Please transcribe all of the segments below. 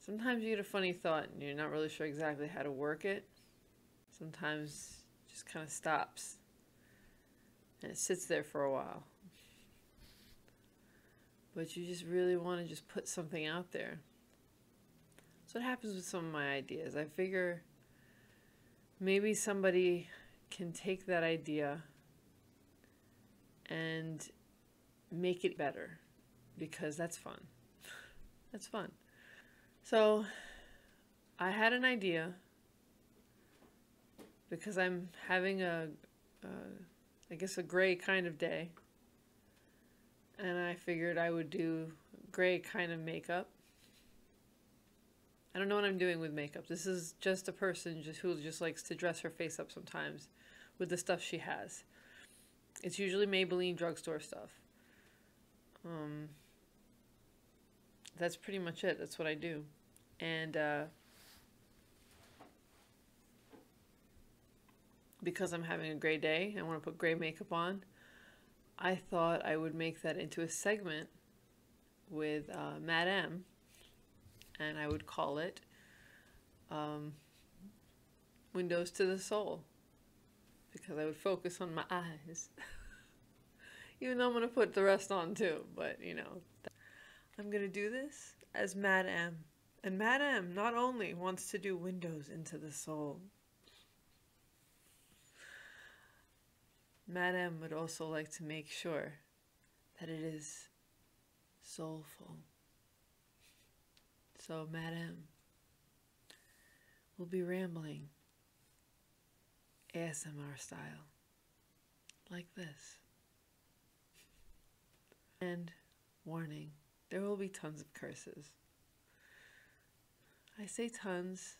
Sometimes you get a funny thought and you're not really sure exactly how to work it. Sometimes it just kind of stops and it sits there for a while. But you just really want to just put something out there. So it happens with some of my ideas. I figure maybe somebody can take that idea and make it better because that's fun. that's fun. So I had an idea because I'm having ai guess, a gray kind of day. And I figured I would do gray kind of makeup. I don't know what I'm doing with makeup. This is just a person just who just likes to dress her face up sometimes with the stuff she has. It's usually Maybelline drugstore stuff. Um, that's pretty much it. That's what I do. And uh, because I'm having a gray day, I want to put gray makeup on. I thought I would make that into a segment with uh, Madam, and I would call it um, Windows to the Soul because I would focus on my eyes. Even though I'm going to put the rest on too, but you know. I'm going to do this as Madam, And Madam not only wants to do windows into the soul, Madam would also like to make sure that it is soulful. So, madam, we will be rambling ASMR style, like this. And warning there will be tons of curses. I say tons.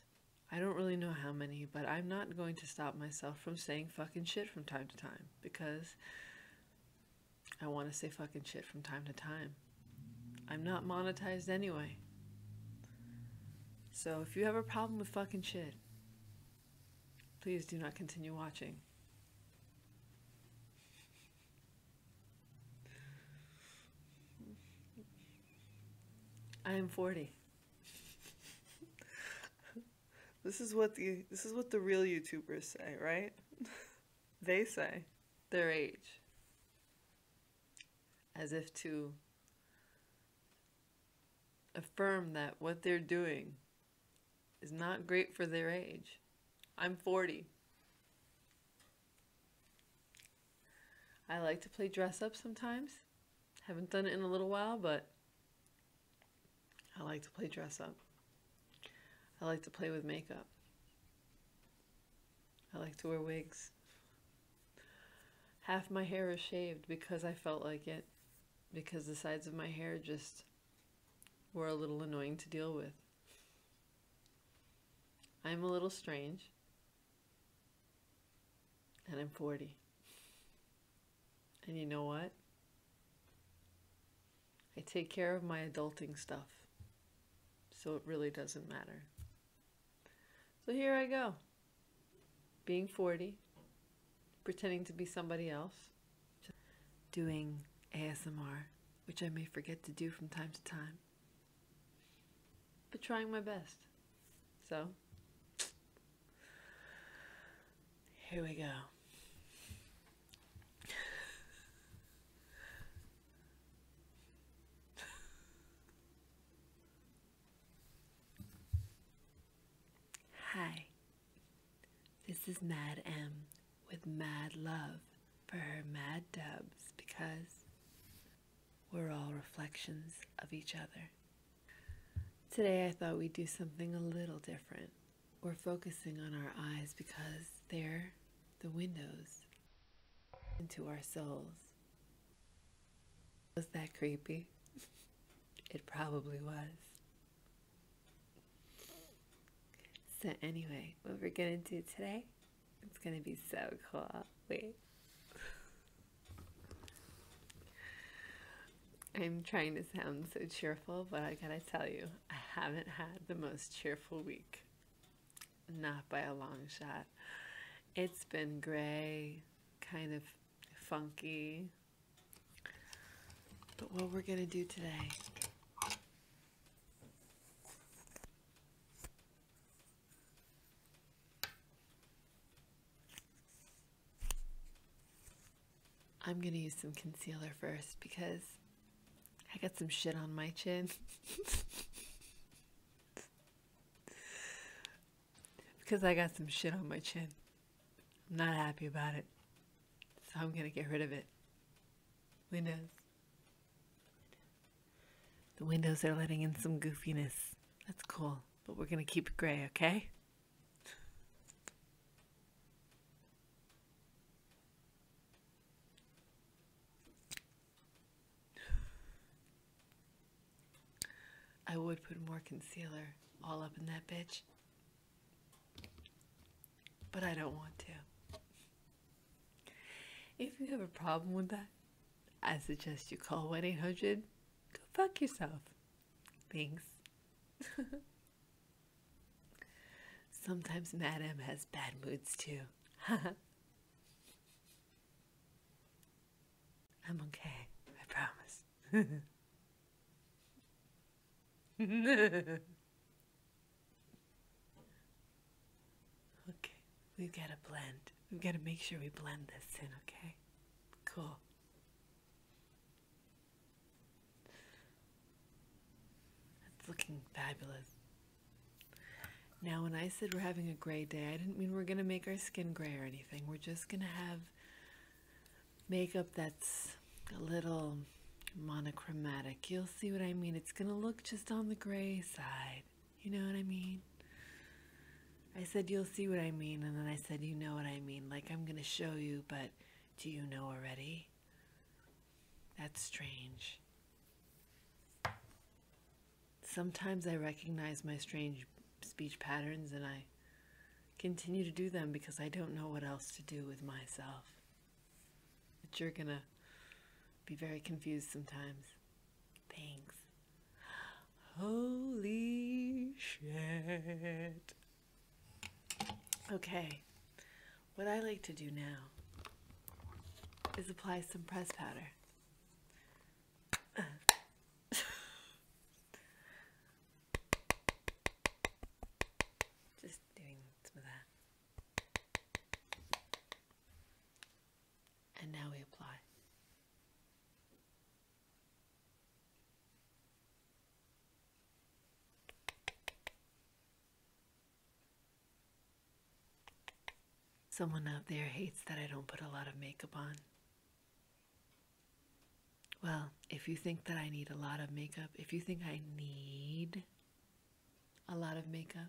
I don't really know how many, but I'm not going to stop myself from saying fucking shit from time to time because I want to say fucking shit from time to time. I'm not monetized anyway. So if you have a problem with fucking shit, please do not continue watching. I am 40. this is what the this is what the real YouTubers say, right? they say their age. As if to affirm that what they're doing is not great for their age. I'm 40. I like to play dress up sometimes. Haven't done it in a little while, but I like to play dress up. I like to play with makeup. I like to wear wigs. Half my hair is shaved because I felt like it, because the sides of my hair just were a little annoying to deal with. I'm a little strange, and I'm 40. And you know what? I take care of my adulting stuff. So it really doesn't matter. So here I go. Being 40, pretending to be somebody else, doing ASMR, which I may forget to do from time to time but trying my best. So, here we go. Hi, this is Mad M with Mad Love for her Mad Dubs because we're all reflections of each other. Today, I thought we'd do something a little different. We're focusing on our eyes because they're the windows into our souls. Was that creepy? it probably was. So, anyway, what we're going to do today it's gonna be so cool. Wait. I'm trying to sound so cheerful, but I gotta tell you, I haven't had the most cheerful week. Not by a long shot. It's been gray, kind of funky. But what we're gonna do today I'm going to use some concealer first because I got some shit on my chin. because I got some shit on my chin. I'm not happy about it. So I'm going to get rid of it. Who knows? The windows are letting in some goofiness. That's cool, but we're gonna keep it gray, okay? I would put more concealer all up in that bitch. But I don't want to. If you have a problem with that, I suggest you call 1 800 Go fuck yourself. Thanks. Sometimes Madam has bad moods too. I'm okay, I promise. Okay, we've got to blend. We've got to make sure we blend this in, okay? Cool. That's looking fabulous. Now, when I said we're having a gray day, I didn't mean we're going to make our skin gray or anything. We're just going to have makeup that's a little monochromatic. You'll see what I mean. It's going to look just on the gray side. You know what I mean? I said, You'll see what I mean. And then I said, You know what I mean. Like, I'm going to show you, but do you know already? That's strange. Sometimes I recognize my strange speech patterns and I continue to do them because I don't know what else to do with myself. But you're going to be very confused sometimes. Thanks. Holy shit. Okay, what I like to do now is apply some press powder. Just doing some of that. And now we apply. Someone out there hates that I don't put a lot of makeup on. Well, if you think that I need a lot of makeup, if you think I need a lot of makeup,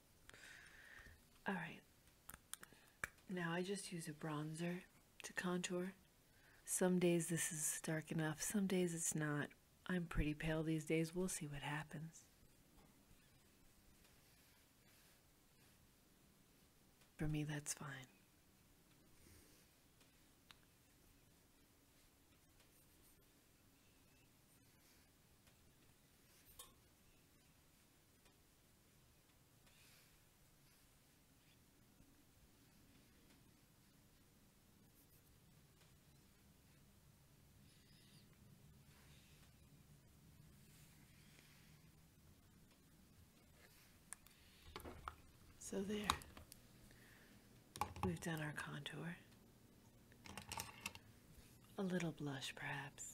All right. Now I just use a bronzer to contour. Some days this is dark enough, some days it's not. I'm pretty pale these days. We'll see what happens. For me, that's fine. So there, we've done our contour. A little blush, perhaps.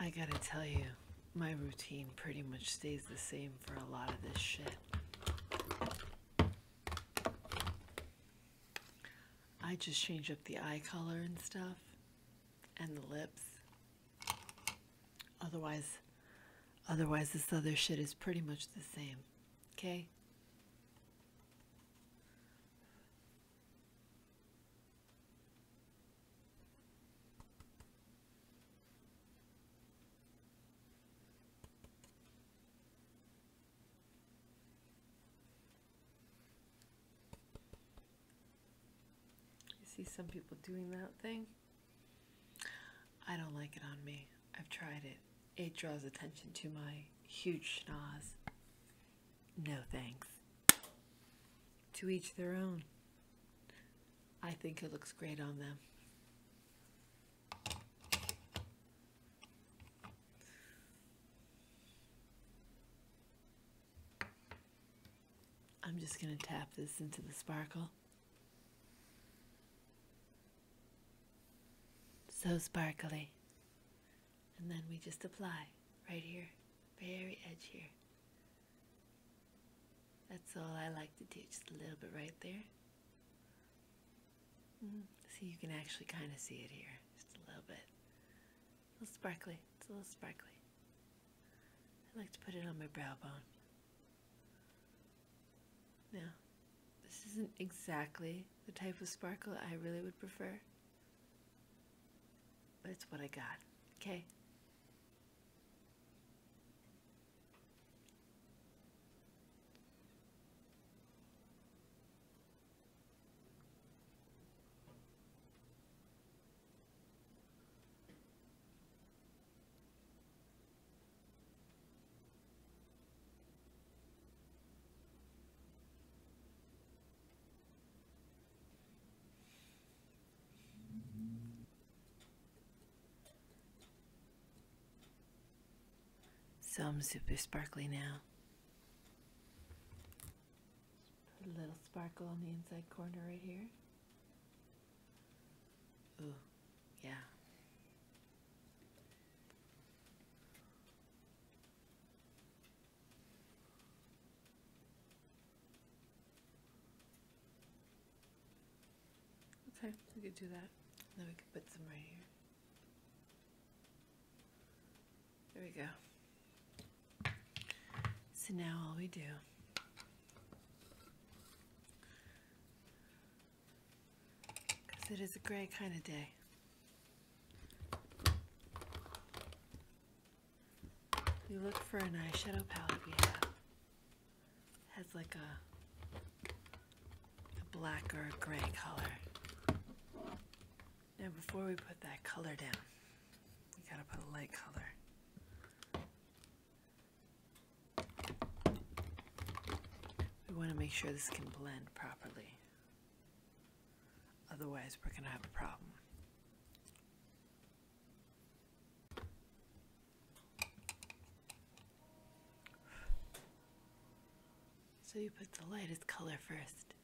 I gotta tell you, my routine pretty much stays the same for a lot of this shit. I just change up the eye color and stuff, and the lips, Otherwise, otherwise this other shit is pretty much the same. Okay? see some people doing that thing. I don't like it on me. I've tried it. It draws attention to my huge schnoz. No thanks. To each their own. I think it looks great on them. I'm just going to tap this into the sparkle. So sparkly. And then we just apply right here, very edge here. That's all I like to do, just a little bit right there. Mm-hmm. See, you can actually kind of see it here, just a little bit. A little sparkly, it's a little sparkly. I like to put it on my brow bone. Now, this isn't exactly the type of sparkle I really would prefer, but it's what I got, okay? Some super sparkly now. Put a little sparkle on the inside corner right here. Yeah. Okay, we could do that. Then we could put some right here. There we go. So now all we do because it is a gray kind of day. You look for an eyeshadow palette we have. Has like a black or a gray color. Now before we put that color down, we gotta put a light color. We want to make sure this can blend properly. Otherwise, we're going to have a problem. So you put the lightest color first.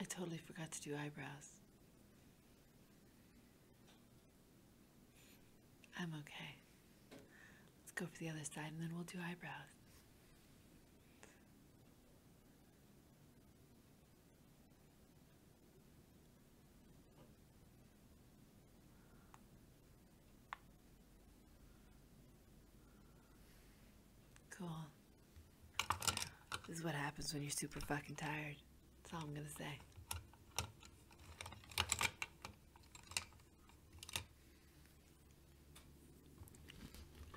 I totally forgot to do eyebrows. I'm okay. Let's go for the other side and then we'll do eyebrows. Cool. This is what happens when you're super fucking tired. That's all I'm gonna say.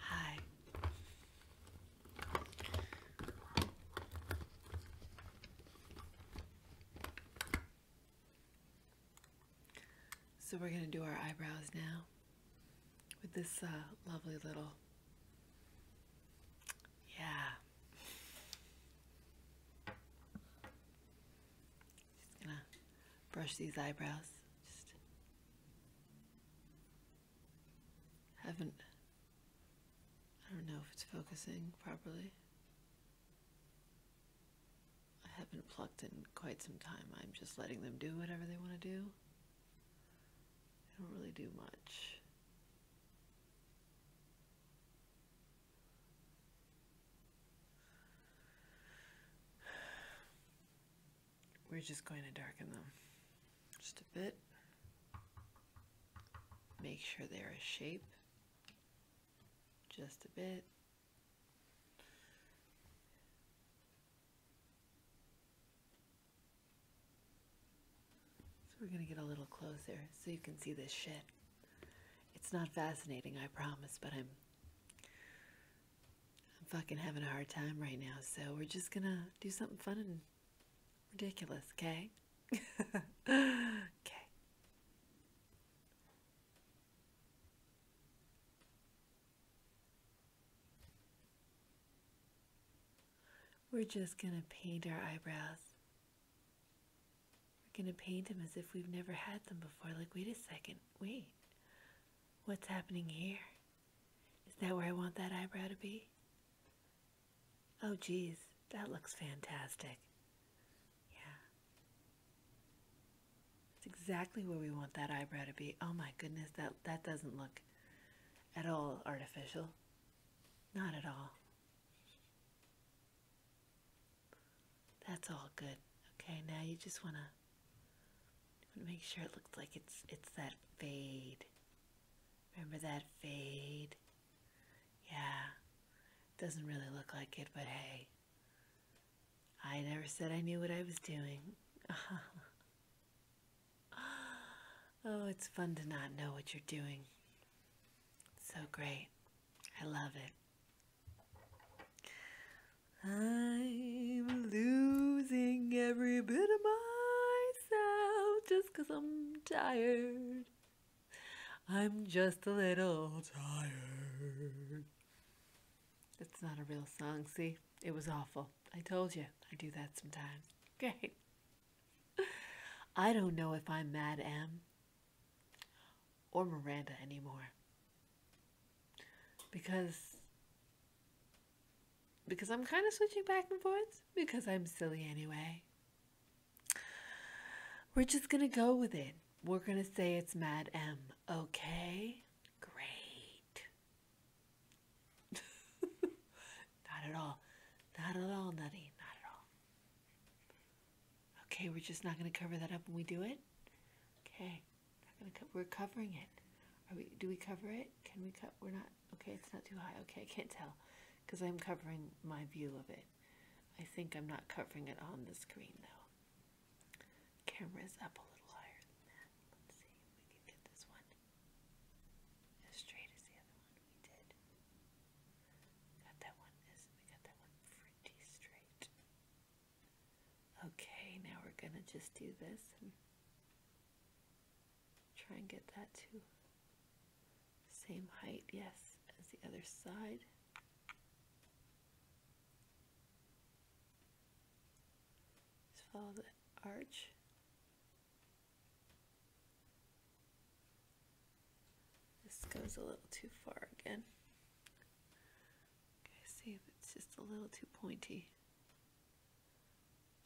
Hi. So we're going to do our eyebrows now with this uh, lovely little, yeah. Just gonna brush these eyebrows. Just haven't, I don't know if it's focusing properly. I haven't plucked in quite some time. I'm just letting them do whatever they want to do. They don't really do much. We're just going to darken them just a bit. Make sure they're a shape just a bit. So we're going to get a little closer so you can see this shit. It's not fascinating, I promise, but I'm fucking having a hard time right now, so we're just going to do something fun and ridiculous, okay? okay. We're just going to paint our eyebrows. We're going to paint them as if we've never had them before. Like, wait a second, wait. What's happening here? Is that where I want that eyebrow to be? Oh, jeez, that looks fantastic. Yeah. It's exactly where we want that eyebrow to be. Oh my goodness, that, that doesn't look at all artificial. Not at all. That's all good. Okay, now you just want to make sure it looks like it's it's that fade. Remember that fade? Yeah. Doesn't really look like it, but hey. I never said I knew what I was doing. Oh, it's fun to not know what you're doing. so great. I love it. I'm losing every bit of myself just because I'm tired. I'm just a little tired. It's not a real song, see? It was awful. I told you I do that sometimes. Great. I don't know if I'm Mad M or Miranda anymore. Because because I'm kind of switching back and forth because I'm silly anyway. We're just going to go with it. We're going to say it's Mad M, okay? Great. not at all. Not at all, Nutty. Not at all. Okay, we're just not going to cover that up when we do it. Okay, we're covering it. Are we? Do we cover it? Can we cut? We're not. Okay, it's not too high. Okay, I can't tell because I'm covering my view of it. I think I'm not covering it on the screen though. Camera is up a little higher than that. Let's see if we can get this one. As straight as the other one we did. Got that one we got that one pretty straight. Okay, now we're gonna just do this and try and get that to same height, yes, as the other side. Just follow the arch this goes a little too far again. Okay, see, it's just a little too pointy.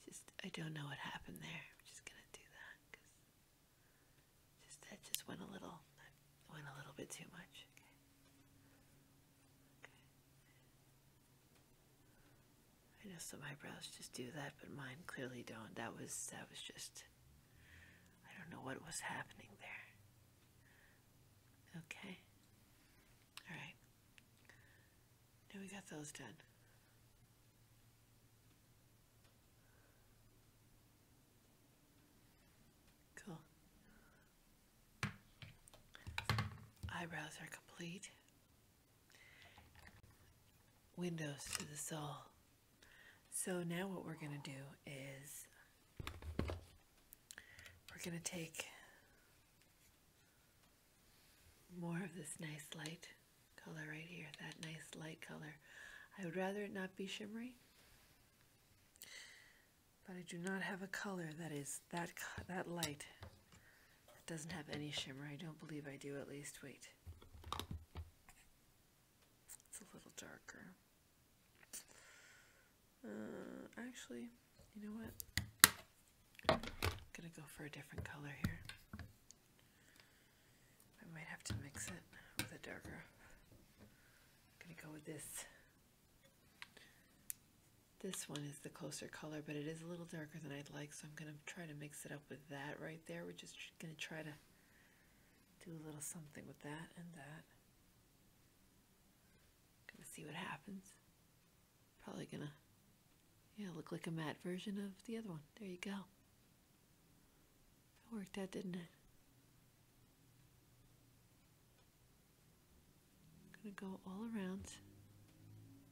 Just, I don't know what happened there. I'm just gonna do that because just that just went a little, went a little bit too much. Okay. I know some eyebrows just do that, but mine clearly don't. That was that was just I don't know what was happening there. Okay. Alright. Now we got those done. Cool. Eyebrows are complete windows to the soul. So now what we're going to do is we're going to take more of this nice light color right here, that nice light color. I would rather it not be shimmery, but I do not have a color that is that, that light doesn't have any shimmer. I don't believe I do, at least. Wait. It's a little darker. Uh, actually, you know what? I'm gonna go for a different color here. I might have to mix it with a darker. I'm gonna go with this. This one is the closer color, but it is a little darker than I'd like, so I'm gonna try to mix it up with that right there. We're just going to try to do a little something with that and that. Going to see what happens. Probably going to, yeah, look like a matte version of the other one. There you go. That worked out, didn't it? I'm going to go all around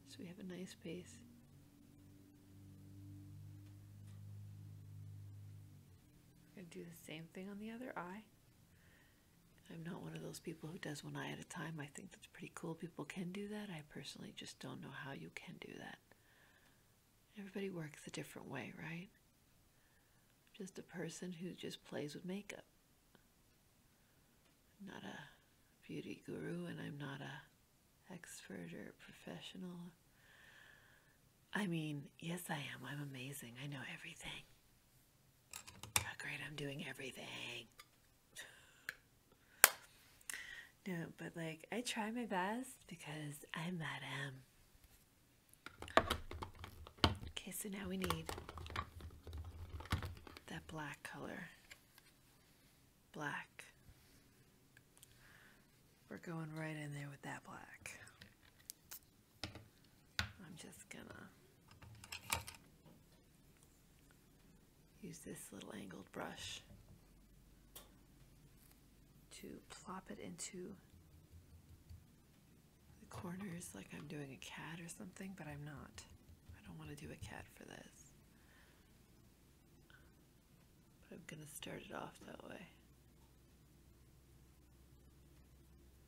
so we have a nice base. I are going to do the same thing on the other eye. I'm not one of those people who does one eye at a time. I think that's pretty cool. People can do that. I personally just don't know how you can do that. Everybody works a different way, right? Just a person who just plays with makeup. not a beauty guru and I'm not a expert or professional. I mean, yes, I am. I'm amazing. I know everything. Oh, great, I'm doing everything. No, but like, I try my best because I'm Madame. Okay, so now we need that black color black. We're going right in there with that black. I'm just gonna use this little angled brush to plop it into the corners like I'm doing a cat or something, but I'm not. I don't want to do a cat for this. But I'm going to start it off that way.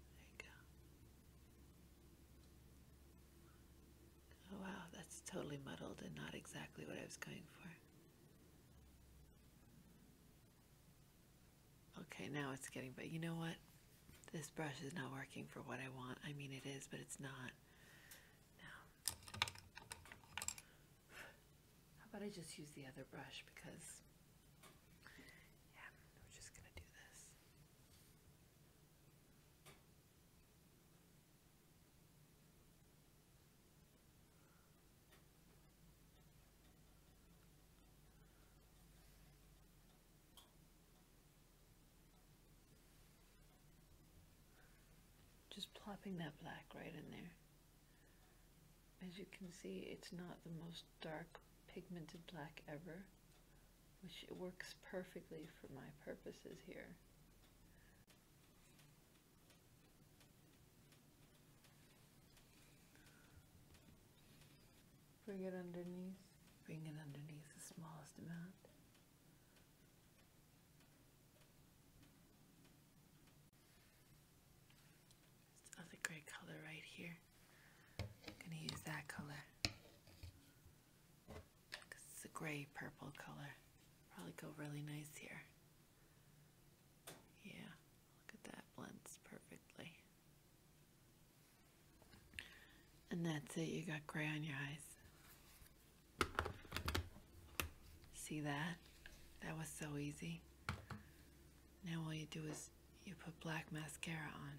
There you go. Oh wow, that's totally muddled and not exactly what I was going for. Okay, now it's getting, but you know what? This brush is not working for what I want. I mean, it is, but it's not. How about I just use the other brush because yeah, we're just going to do this. Just plopping that black right in there. As you can see, it's not the most dark pigmented black ever, which works perfectly for my purposes here. Bring it underneath, bring it underneath the smallest amount. This other gray color right here. I'm gonna use that color. it's a gray purple color. Probably go really nice here. Yeah, look at that, blends perfectly. And that's it, you got gray on your eyes. See that? That was so easy. Now all you do is you put black mascara on.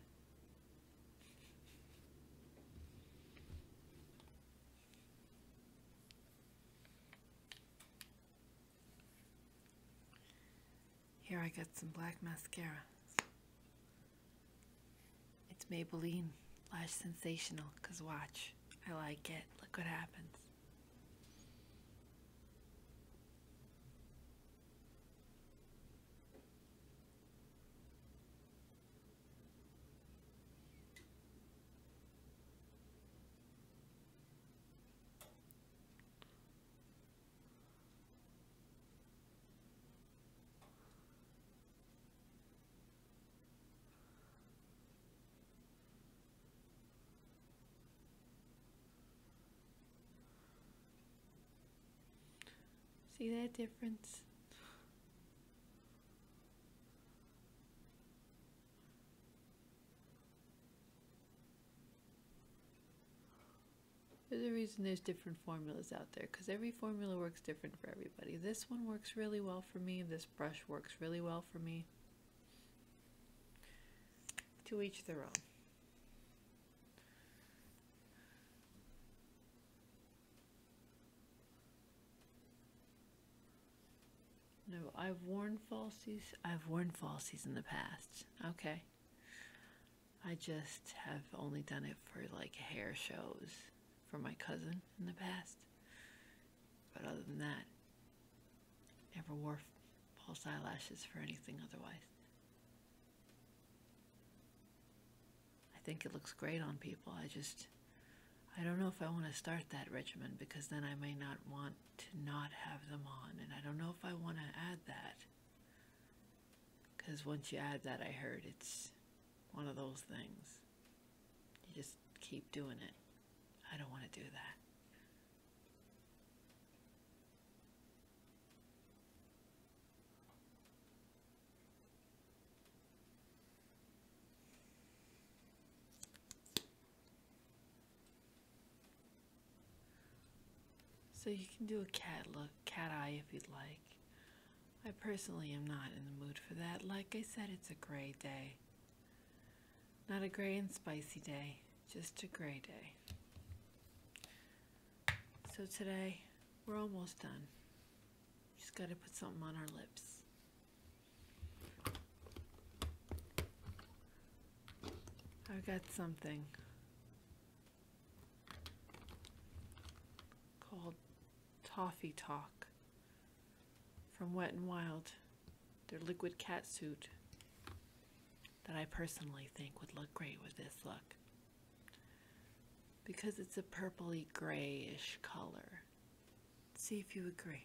Here I got some black mascara. It's Maybelline Lash Sensational, because watch, I like it. Look what happens. See that difference? There's a reason there's different formulas out there because every formula works different for everybody. This one works really well for me. This brush works really well for me. To each their own. No, I've worn falsies. I've worn falsies in the past. Okay. I just have only done it for like hair shows for my cousin in the past. But other than that, never wore false eyelashes for anything otherwise. I think it looks great on people. I just, I don't know if I want to start that regimen because then I may not want to not have them on. And I don't know if I want to add that. Because once you add that, I heard it's one of those things. You just keep doing it. I don't want to do that. So you can do a cat look, cat eye if you'd like. I personally am not in the mood for that. Like I said, it's a gray day. Not a gray and spicy day, just a gray day. So today, we're almost done. Just gotta put something on our lips. I've got something called Toffee Talk from Wet and Wild, their liquid cat suit. that I personally think would look great with this look because it's a purpley grayish color. See if you agree.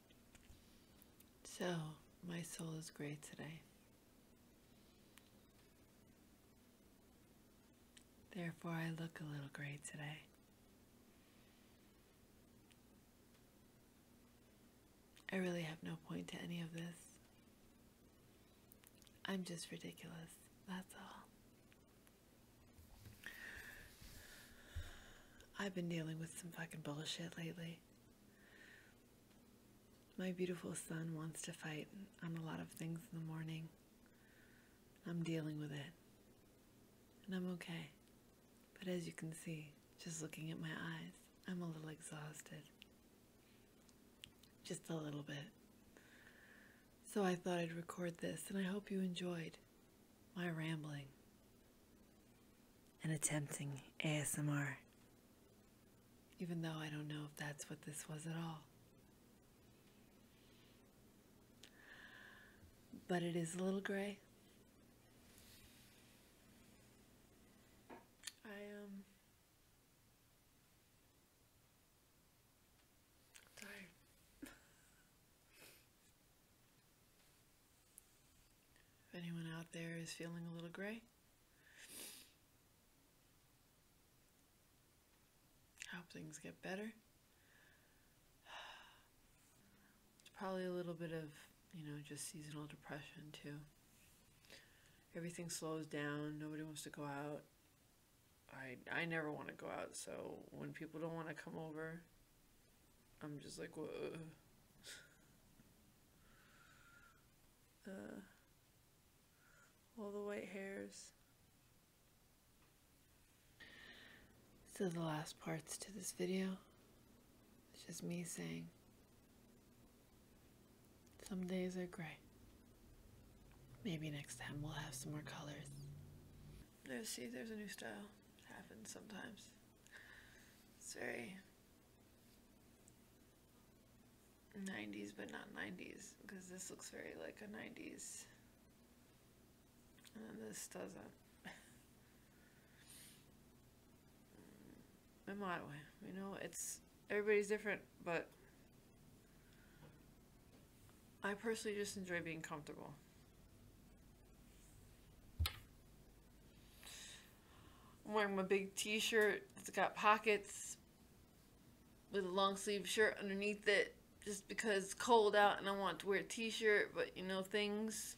So, my soul is gray today. Therefore, I look a little gray today. I really have no point to any of this. I'm just ridiculous, that's all. I've been dealing with some fucking bullshit lately. My beautiful son wants to fight on a lot of things in the morning. I'm dealing with it. And I'm okay. But as you can see, just looking at my eyes, I'm a little exhausted. Just a little bit. So I thought I'd record this, and I hope you enjoyed my rambling and attempting ASMR. Even though I don't know if that's what this was at all. But it is a little gray. I um tired. If anyone out there is feeling a little gray, hope things get better. It's probably a little bit of, you know, just seasonal depression too. Everything slows down, nobody wants to go out. I I never want to go out, so when people don't want to come over, I'm just like, whoa. Uh, all the white hairs. So the last parts to this video, it's just me saying, some days are gray. Maybe next time we'll have some more colors. Let's see, there's a new style. happens sometimes. It's very 90s, but not 90s, because this looks very like a 90s. And this doesn't. In my way, you know, it's everybody's different, but I personally just enjoy being comfortable. I'm wearing a big t-shirt. It's got pockets with a long sleeve shirt underneath it just because it's cold out and I want to wear a t-shirt, but you know things.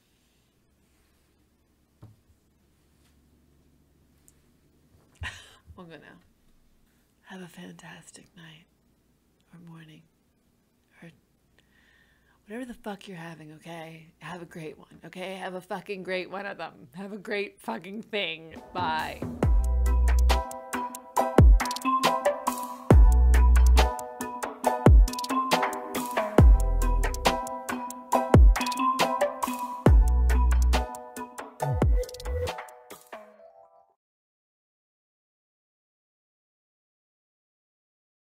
We're gonna have a fantastic night or morning or whatever the fuck you're having, okay? Have a great one, okay? Have a fucking great one of them. Have a great fucking thing. Bye.